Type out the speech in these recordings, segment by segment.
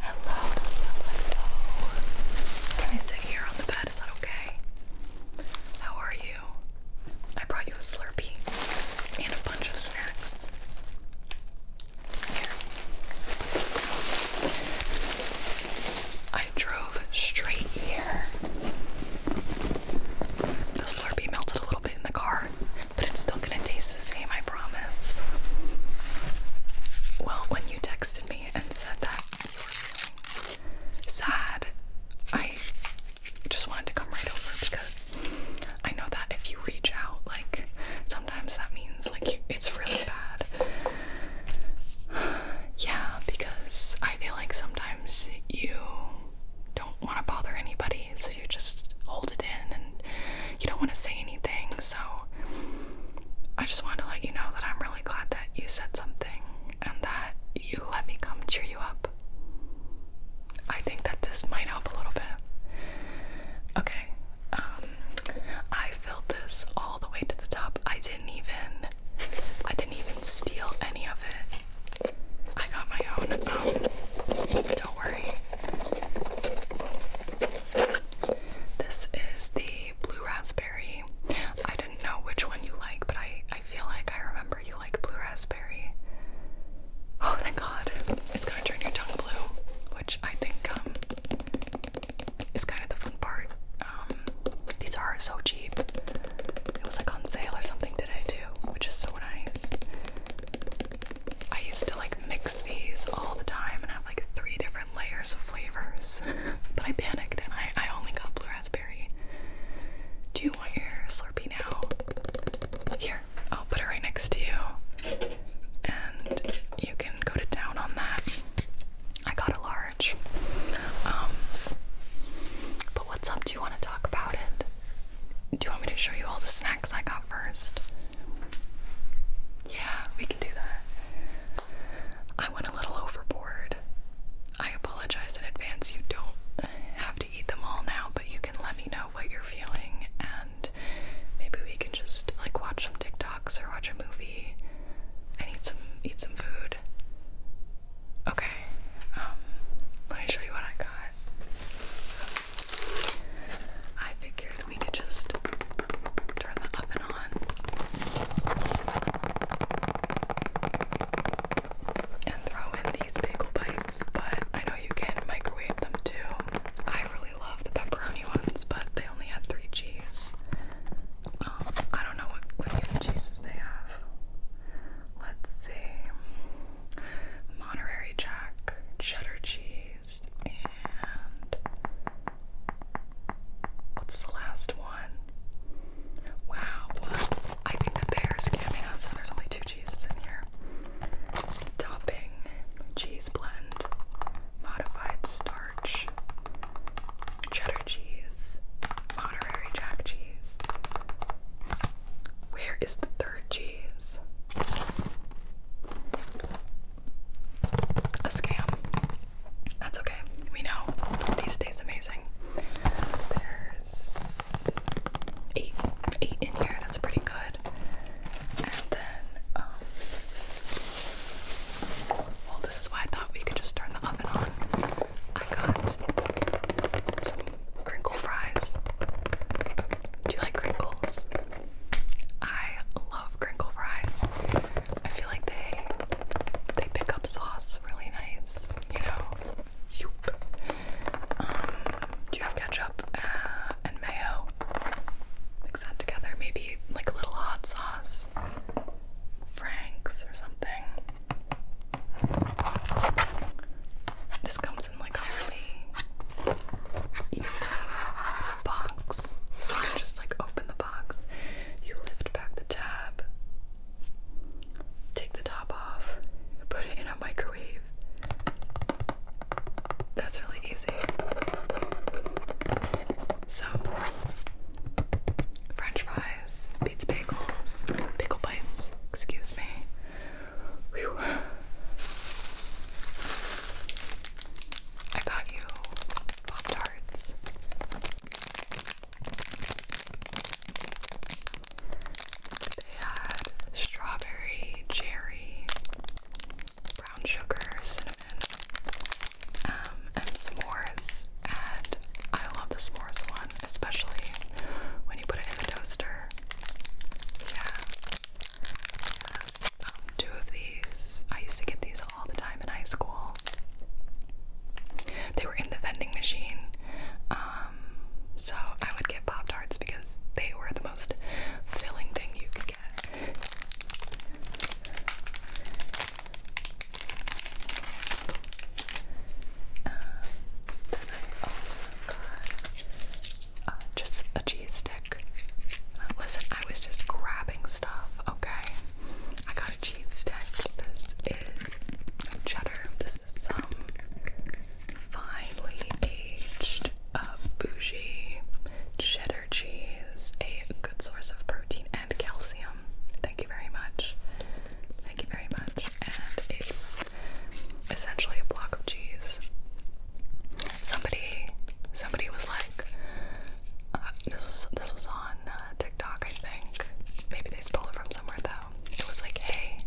Hello, hello, Can I sit here on the bed? Is that okay? How are you? I brought you a Slurpee and a bunch of snacks. Here, I drove straight here. The Slurpee melted a little bit in the car, but it's still gonna taste same, I promise. Well, when you texted me and said that you were feeling sad, I just wanted to come right over because I know that if you reach out, like sometimes that means like it's really bad. yeah, because I feel like sometimes you don't want to bother anybody, so you just hold it in and you don't want to say anything. So I just wanted to let you know that I'm really glad that you said something and that you let me come cheer you up. I think that this might help a little bit. Okay, um, I filled this all the way to the top. I didn't even, I didn't even steal any of it. I got my own. Um, don't worry. This is the blue raspberry. I didn't know which one you like, but I, I feel like I remember you like blue raspberry. Oh, thank God. It's gonna turn your tongue blue, which I think um, is kind of the fun part. Um, these are so cheap. It was like on sale or something today, too, which is so nice. I used to like mix these all the time and have like three different layers of flavors. but I panicked and I, I only got blue raspberry. Do you want your Slurpee now? Here, I'll put it right next to you. And you can go to town on that. I got a large. Um, but what's up? Do you want to talk about it? do you want me to show you all the snacks I got first? Yeah, do that. I went a little overboard. I apologize in advance. You don't have to eat them all now, but you can let me know what you're feeling, and maybe we can just like watch some TikToks or watch a movie and eat some eat some food. Okay, um, let me show you what I got. I figured we could just turn the oven on and throw in these bagel bites, but I know you can microwave them too. I really love the pepperoni ones, but they only had three cheese. Um, I don't know what, what cheeses they have. Let's see. Monterey Jack, cheddar cheese what's the last one? Wow, I think that they are scamming us, there's only two cheeses in here. Topping cheese blend, modified starch, cheddar cheese, Monterey Jack cheese. Where is the third cheese? a scam. That's okay. We know. These days amazing. There's eight eight in here, that's pretty good. And then um well this is why I thought we could just turn the oven on. I got some crinkle fries. Do you like crinkles? I love crinkle fries. I feel like they they pick up sauce really nice, you know. Um, do you have ketchup uh, and mayo? Mix that together, maybe like a little hot sauce, Frank's or something. This comes in like a really easy box. just like open the box, you lift back the tab, take the top off, put it in a microwave. That's really easy. So, French fries, pizza bagels, pickle bites, excuse me. I got you Pop Tarts. They had strawberry, cherry, brown sugar, cinnamon, um, and s'mores. And I love the s'mores one, especially when you put it in the toaster. yeah two of these. I used to get these all the time in high school. They were in the vending machine, um, so I would get Pop Tarts because they were the most filling thing you could get. Uh, just a cheese Listen, I was just grabbing stuff, okay? I got a cheese stick. This is some cheddar. This is some finely aged, uh, bougie cheddar cheese. A good source of protein and calcium. Thank you very much. Thank you very much. And it's essentially a block of cheese. Somebody, somebody was like, uh, this was this was on uh, TikTok, I think. Maybe they stole it from somewhere though. It was like, hey,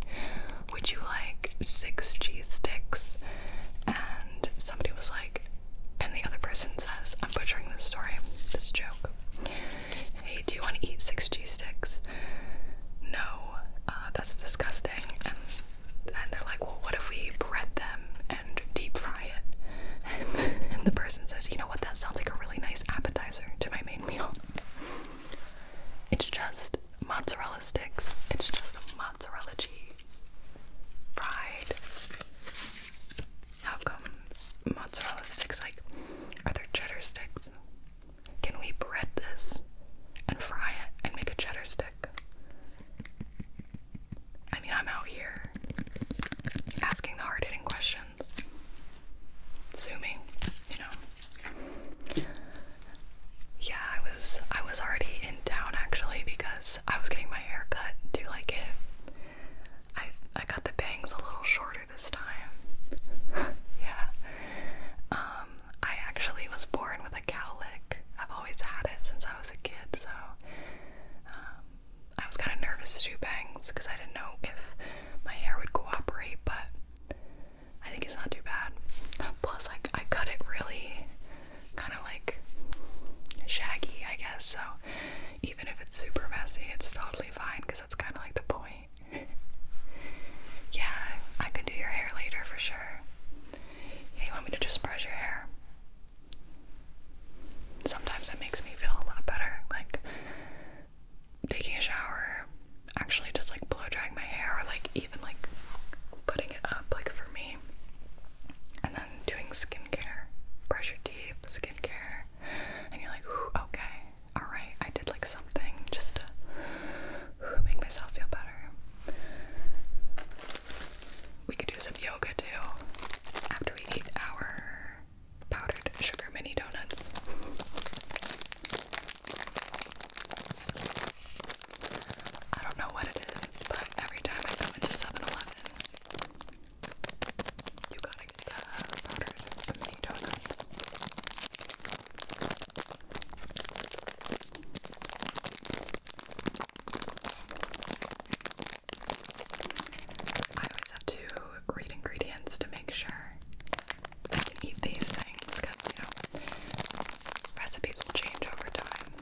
would you like six G sticks? And somebody was like, and the other person says, I'm butchering this story, this joke. Hey, do you want to eat six G sticks? No, uh, that's disgusting. And, and they're like, well, what if we bread them? and deep fry it. and the person says, you know what, that sounds like a really nice appetizer to my main meal. It's just mozzarella sticks. It's just mozzarella cheese. Fried. How come mozzarella sticks? Like, are there cheddar sticks? Can we bread this and fry it and make a cheddar stick? I mean, I'm out here asking the hard hitting questions. Sue you know. Yeah, I was I was already in town actually because I was getting my hair cut. Do you like it? I I got the bangs a little shorter this time. yeah. Um, I actually was born with a cowlick. I've always had it since I was a kid, so um, I was kind of nervous to do bangs because I didn't know if my hair would cooperate, but I think it's not too bad. Plus, I, I cut it really kind of like shaggy, I guess, so even if it's super messy, it's totally fine because that's kind of like the point. yeah, I can do your hair later for sure. Yeah, you want me to just brush your hair? sometimes it makes me feel a lot better. Like taking a shower, actually just like blow drying my hair, or like even like putting it up, like for me. And then doing skincare, brush your teeth, skincare, and you're like, okay, all right, I did like something just to make myself feel better. We could do some yoga too after we eat our powdered sugar mini donuts. I don't know what it is, but every time I go into 7 you gotta get the powdered mini donuts. I always have to read ingredients to make sure I can eat these things because, you know, recipes will change over time.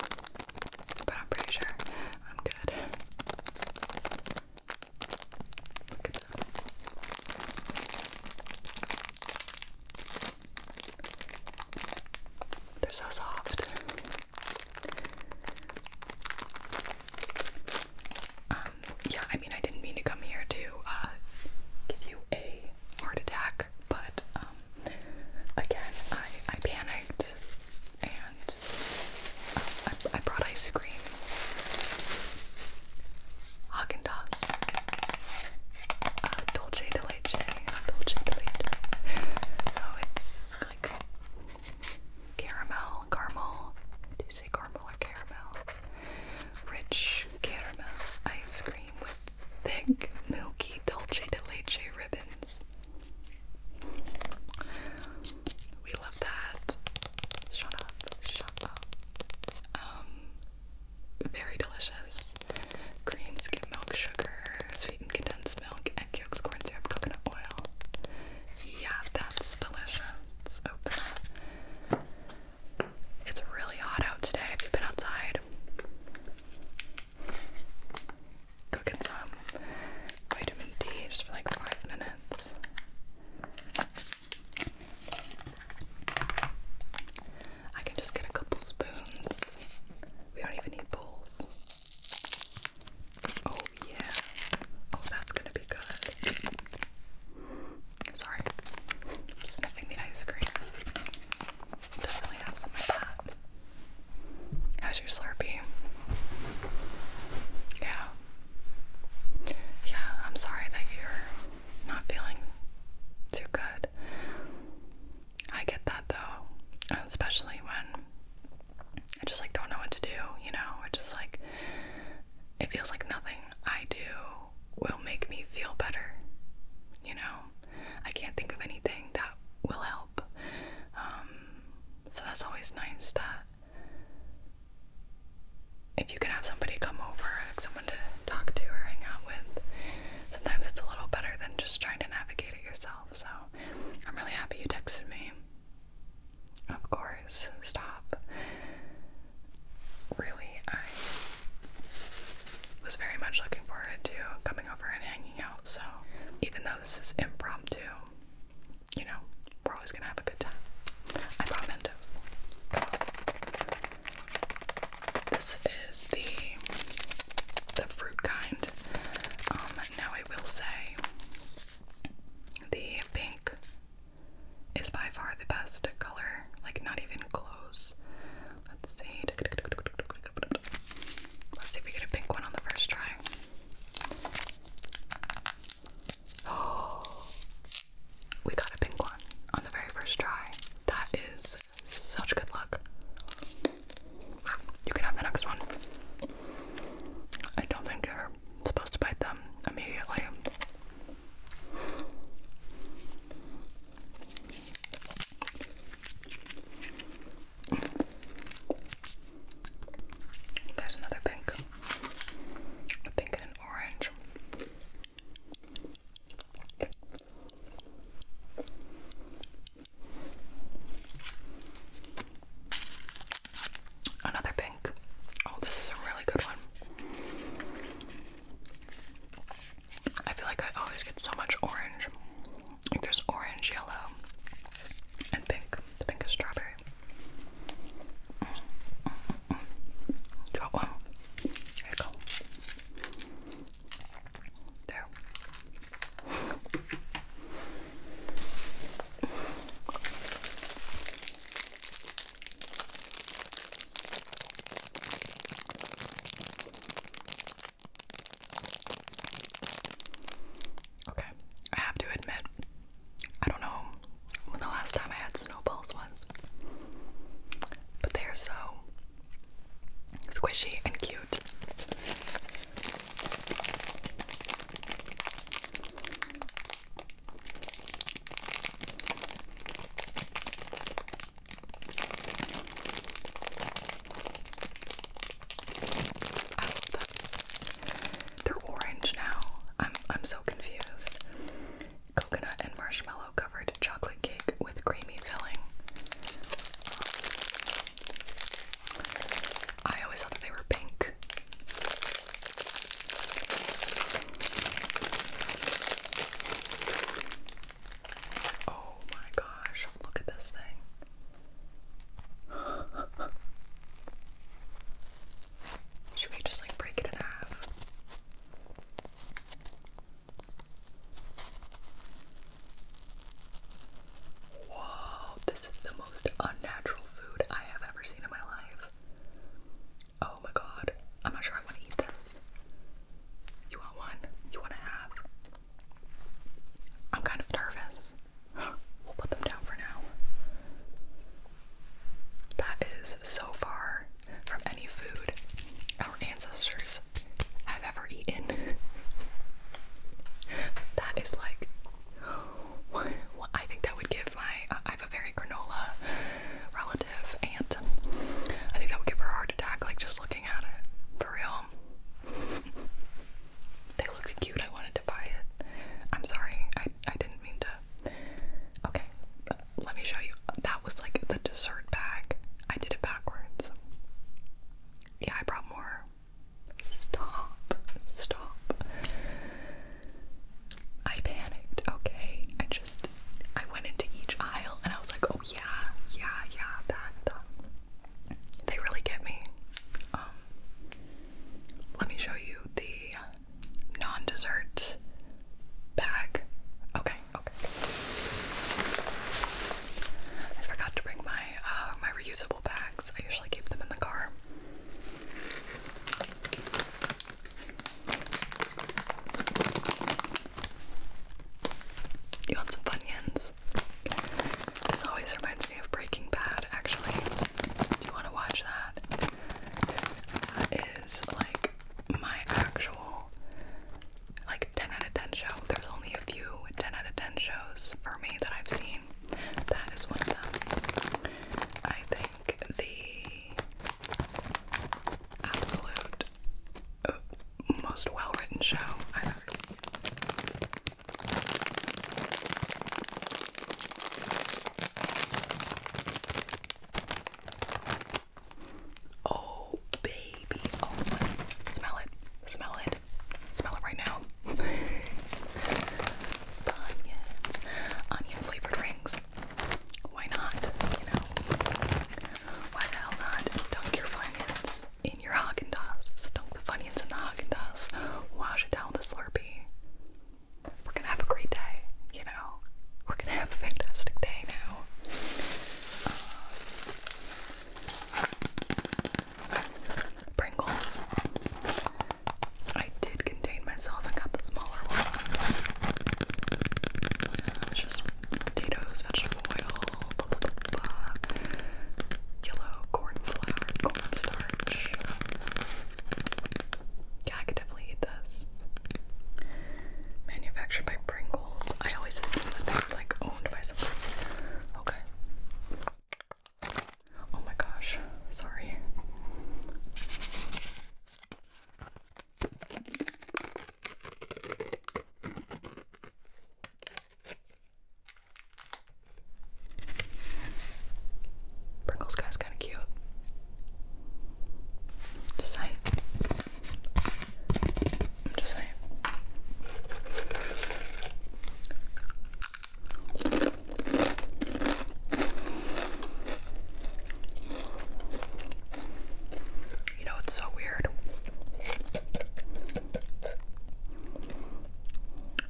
But I'm pretty sure I'm good. They're so soft. Um, yeah, I mean, I didn't mean to come here to uh, give you a heart attack, but um, again, I, I panicked and uh, I, brought ice cream. Haagen Dazs, uh, de Leche, Dolce de Leche. So it's like caramel, caramel. Do you say caramel or caramel? Rich caramel ice cream with thick, milky dulce de leche ribbons. We love that. Shut up, shut up. Um, very delicious. Green skim milk sugar, sweetened condensed milk, egg yolks, corn syrup, coconut oil. Yeah, that's delicious. It's really hot out today. Have you been outside? Go some vitamin D just for like five minutes. I can just get a couple spoons. We don't even need bowls. Oh, yeah. Oh, that's gonna be good. Sorry, I'm sniffing the ice cream. Definitely have some of that. How's your Slurpee? Yeah. Yeah, I'm sorry that you're not feeling too good. I get that though, especially when I just like don't know what to do, you know? It's just like it feels like nothing I do will make me feel better, you know? I can't think of anything that will help. Um, so that's always nice that if you can have somebody come over, like someone to talk to or hang out with, sometimes it's a little better than just trying to navigate it yourself. So I'm really happy you texted me. Of course, stop. Really, I was very much looking forward to coming over and hanging out, so even though this is impromptu, you know, we're always gonna have a good time. I brought This is the the fruit kind. Um, now I will say the pink is by far the best color, like not even close. Let's see. Let's see if we get a pink one on the first try. Oh, we got a pink one on the very first try. That is such good luck. You can have the next one. I don't think you're supposed to bite them immediately. There's another pink. A pink and an orange. Another pink. Oh, this is a really good one. I feel like I always get so much orange. Like there's orange, yellow, and pink. The pink is strawberry. Got one. There you go. There. Okay, I have to admit, I don't know when the last time I had snowballs was, but they are so squishy and cute. I oh, They're orange now. I'm I'm so confused. Coconut and marshmallow covered chocolate cake with creamy filling. I always thought they were pink. Oh my gosh, look at this thing. Should we just like break it in half? Wow, this is the most most unnatural food I have ever seen in my life. Oh my god. I'm not sure I want to eat this. You want one? You want to have? I'm kind of nervous. We'll put them down for now. That is so far from any food our ancestors have ever eaten. that is like I think that would give my, I have a very granola relative and I think that would give her a heart attack, like just looking at it. For real. They looked cute. I wanted to buy it. I'm sorry. I, I didn't mean to. Okay. Uh, let me show you. That was like the dessert bag. I did it backwards. Yeah, I brought more. Stop. Stop. I panicked, okay? I just I went into each aisle and I was like, oh yeah, yeah, yeah, that, They really get me. Um let me show you the non-dessert bag. Okay, okay. I forgot to bring my uh, my reusable bags. I usually keep them in the car. You want some Funyuns? This always reminds me of Breaking Bad, actually. Do you want to watch that? That is like my actual like 10 out of 10 show. There's only a few 10 out of 10 shows for me that I've seen that is one of them. I think the absolute uh, most well written show I've ever Oh, baby. Oh, smell it. Smell it. Smell it right now. the onion flavored rings. Why not? You know, why the hell not? Dunk your Funyuns in your Haagen Dazs. Dunk the Funyuns in the Haagen Dazs. Wash it down with a Slurpee. We're gonna have a great day. You know, we're gonna have a fantastic day now. Uh, Pringles. I did contain myself I got the smaller one. just potatoes, vegetable oil, blah, yellow corn flour, corn starch. Yeah, I could definitely eat this. Manufactured by Pringles. I always assume that they're like owned by someone. Okay. Oh my gosh, sorry. Prinkles guy's kind of cute. Just saying. I'm just saying. You know, it's so weird.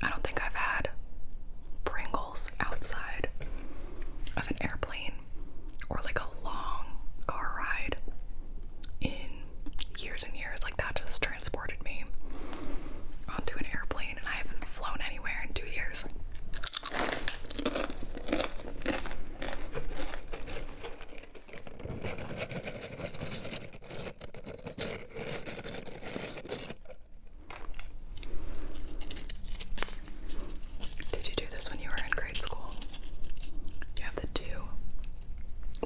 I don't think I've had Pringles outside of an airplane or like a long car ride in years and years. Like, that just transported me onto an airplane and I haven't flown anywhere in two years. Did you do this when you were in grade school? You have the two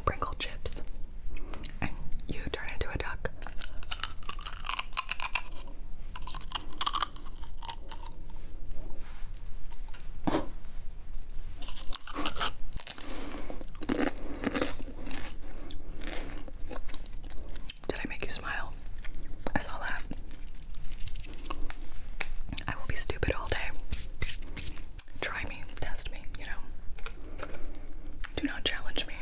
Pringle chips and you turn into a duck. Did I make you smile? I saw that. I will be stupid all day. Try me, test me, you know. Do not challenge me.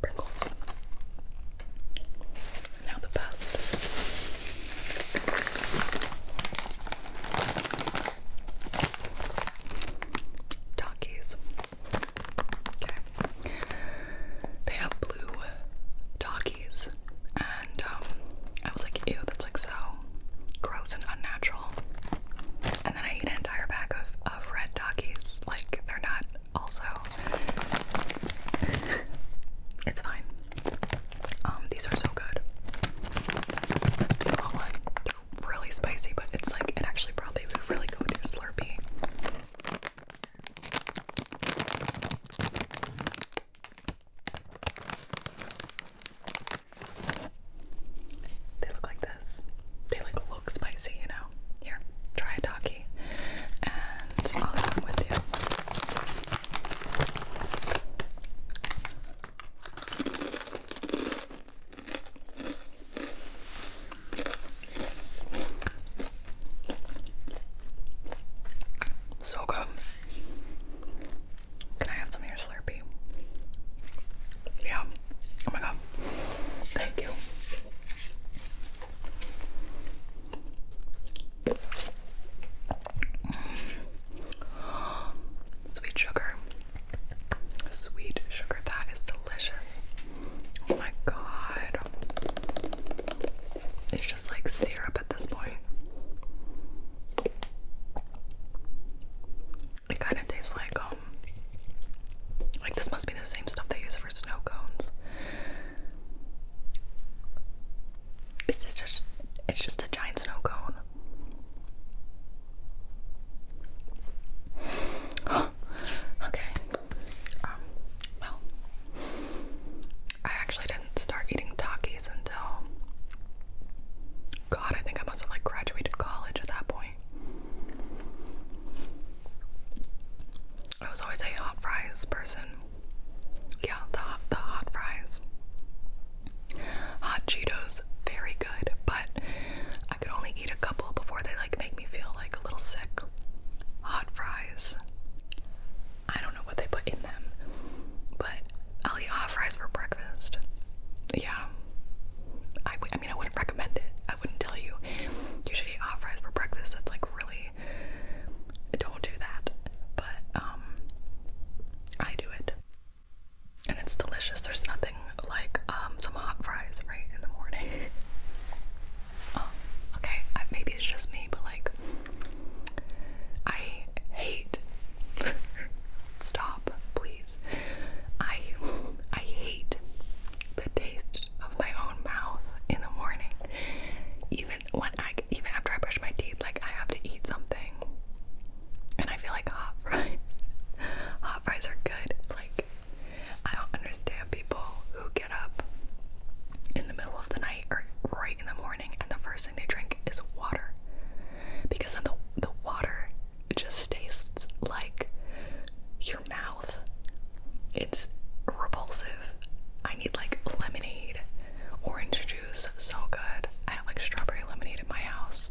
Prickles. Now the best. Takis. Okay. They have blue Takis. And um, I was like, ew, that's like so gross and unnatural. And then I eat an entire bag of, of red doggies. Like, they're not also. it's fine. Um, these are so good. Oh, they're really spicy, but it's like, it actually probably would really go with your Slurpee. They look like this. They like look spicy, you know. Here, try a taki, and I'll come with you. So good. Can I have some of your yeah. Oh my god. Thank you. Sweet sugar. Sweet sugar. That is delicious. Oh my god. It's just like syrup at this point. It kind of tastes like um, like this must be the same stuff they use for snow cones. It's just, just it's just a giant snow cone. okay. Um, well, I actually didn't start eating Takis until God, I think I must have like graduated college at that point anyway. I was always a hot fries person. Yeah, the hot, the hot fries. Hot Cheetos, very good, but I could only eat a couple before they like make me feel like a little sick. Hot fries. I don't know what they put in them, but I'll eat hot fries for breakfast. Yeah, I, I mean, I wouldn't recommend it. I wouldn't tell you. You should eat hot fries for breakfast. That's like really don't do that. But um I do it. And it's delicious. There's nothing like um some hot fries right in the morning. Um, okay, maybe it's just me, but like I hate stop, please. I I hate the taste of my own mouth in the morning. Even when I even after I brush my teeth, like I have to eat something. And I feel like hot fries. Hot fries are good. Like I don't understand people who get up in the middle of the night or right in the morning and the first thing they drink is water. Because then the the water it just tastes like your mouth. It's repulsive. I need like lemonade, orange juice, so good. I have like strawberry lemonade at my house.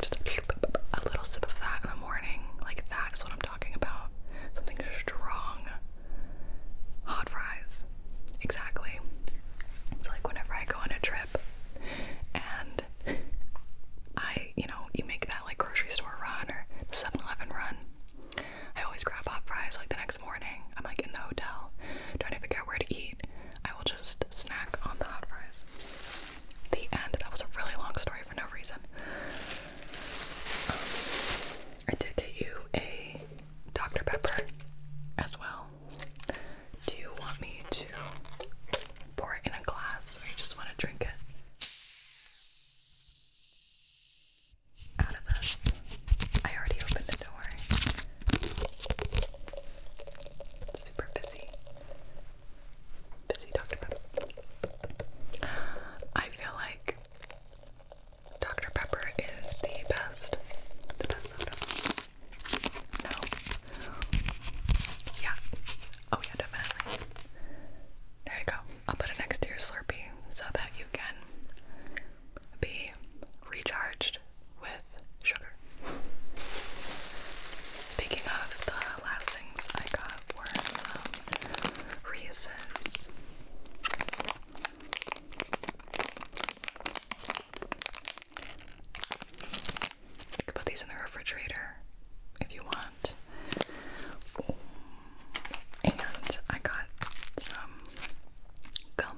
Just a little sip of that in the morning. Like that is what I'm talking about. Something strong. Hot fries. Exactly. It's like whenever I go on a trip and I you know, you make that like grocery store run or the 7 Eleven run. I always grab hot fries like the next morning. I'm like in the hotel trying to figure out where to eat. I will just snack on the hot fries. The end. That was a really long story for no reason. Um, I did get you a Dr. Pepper as well. Do you want me to pour it in a glass or just want to drink it. Out of this. I already opened it, do super busy. Busy Dr. Pepper. I feel like Dr. Pepper is the best. The best soda. No, yeah. Oh yeah, definitely. There you go. I'll put it next to your Slurpee so that you can be recharged with sugar. Speaking of the last things I got were some Reese's. You can put these in the refrigerator if you want. And I got some gum.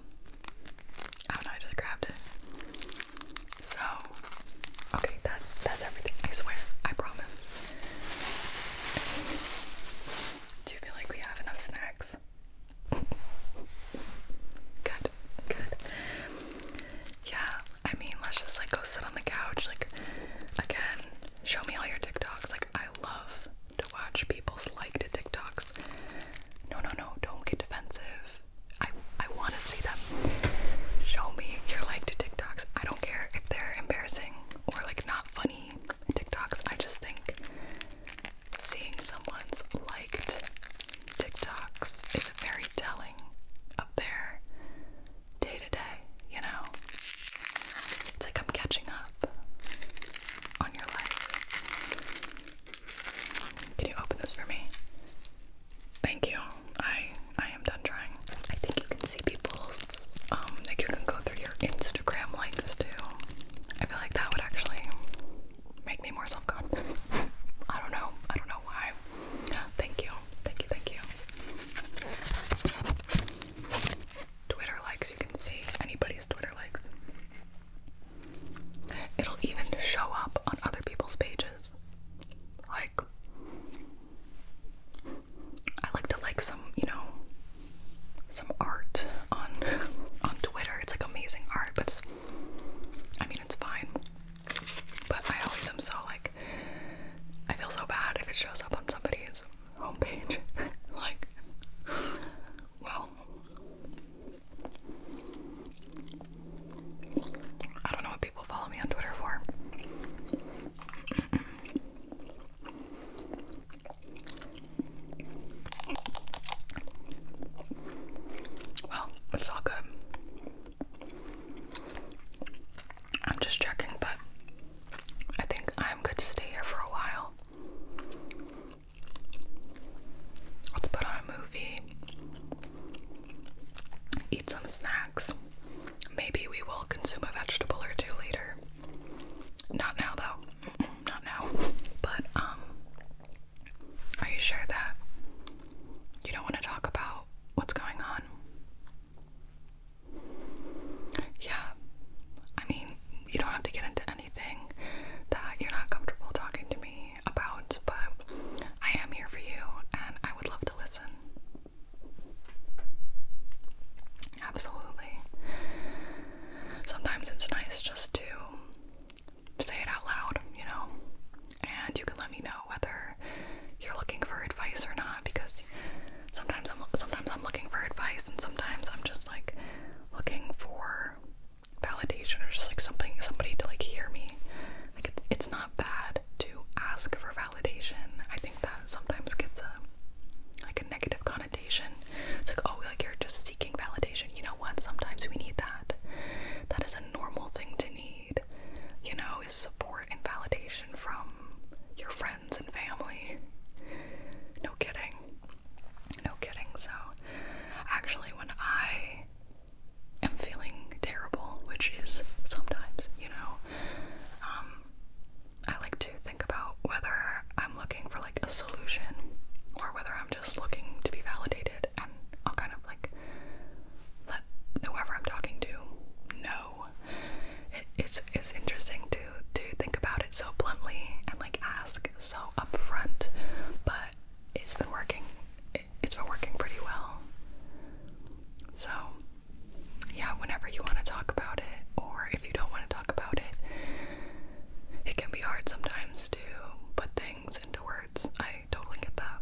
I oh, do I just grabbed it. So, okay, that's that's everything. I swear, I promise. Do you feel like we have enough snacks? good, good yeah, I mean, let's just like go sit on the couch. Like, again, show me all your TikToks. Like, I love to watch people's liked TikToks. No, no, no, don't get defensive. I, I want to see them. Show me your liked TikToks. I don't care if they're embarrassing or like not funny TikToks. I just think seeing someone's liked TikToks is very telling up there day to day, you know? It's like I'm catching up on your life. Can you open this for me? Thank you. I I am done trying. I think you can see people's um like you can go through your Instagram like too. I feel like that would actually make me more self-conscious. I don't know. I don't know why. Thank you. Thank you, thank you. Twitter likes, you can see anybody's Twitter likes. It'll even show up on other people's pages. Like, I like to like some, you know, some art on on Twitter. It's like amazing art, but I mean, it's fine. But I always am so like, I feel so bad if it shows up on somebody's homepage. like, well, I don't know what people follow me on Twitter for. well, it's all good. I'm just checking, but I think I'm good to stay here for a while. Let's put on a movie, eat some snacks. Maybe we will consume a vegetable or two later. Not now, though. Not now. But, um, are you sure that you don't want to talk about? what's going on. Yeah, I mean, you don't have to get into anything that you're not comfortable talking to me about, but I am here for you and I would love to listen. Absolutely. Sometimes it's nice just to say it out loud, you know? and you can let me know whether you're looking for advice or not because sometimes I'm sometimes I'm looking for advice and sometimes I'm just like looking for validation or just like something somebody to like hear me. Like it's it's not bad to ask for validation. I think that sometimes gets a like a negative connotation. It's like oh like you're just seeking validation. You know what? Sometimes we need that. That is a normal thing to need, you know, is support and validation from your friends and family. No kidding. No kidding. So, actually, when I am feeling terrible, which is sometimes, you know, um, I like to think about whether I'm looking for like a solution or whether I'm just looking to be validated, and I'll kind of like let whoever I'm talking to know it's it's interesting to to think about it so bluntly and like ask so upfront, but it's been working. it's been working pretty well. So, yeah, whenever you want to talk about it, or if you don't want to talk about it, it can be hard sometimes to put things into words. I I totally get that.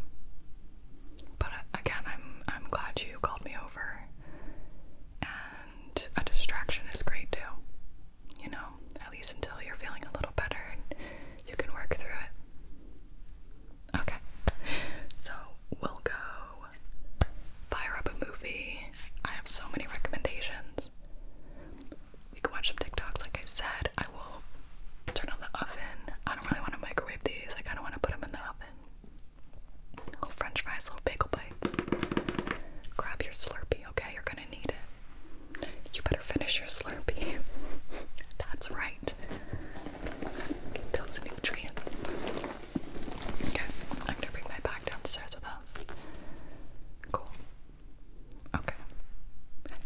But uh, again, I'm I'm glad you called me over. And a distraction is great too. You know, at least until you're feeling a little better and you can work through it. Okay. So, we'll go fire up a movie. I have so many recommendations. We can watch some TikToks, like I said. I will turn on the oven. I don't really want to microwave these. I kind of want to put them in the oven. Oh, french fries, little bagel bites. Grab your Slurpee, okay? You're gonna need it. You better finish your Slurpee. That's right. those nutrients. Okay, I'm gonna bring my bag downstairs with us. Cool. Okay.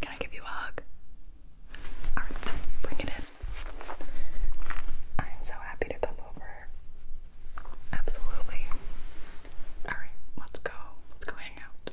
Can I give you a hug? Alright, bring it in. I'm so happy to come over. Absolutely. Alright, let's go. Let's go hang out.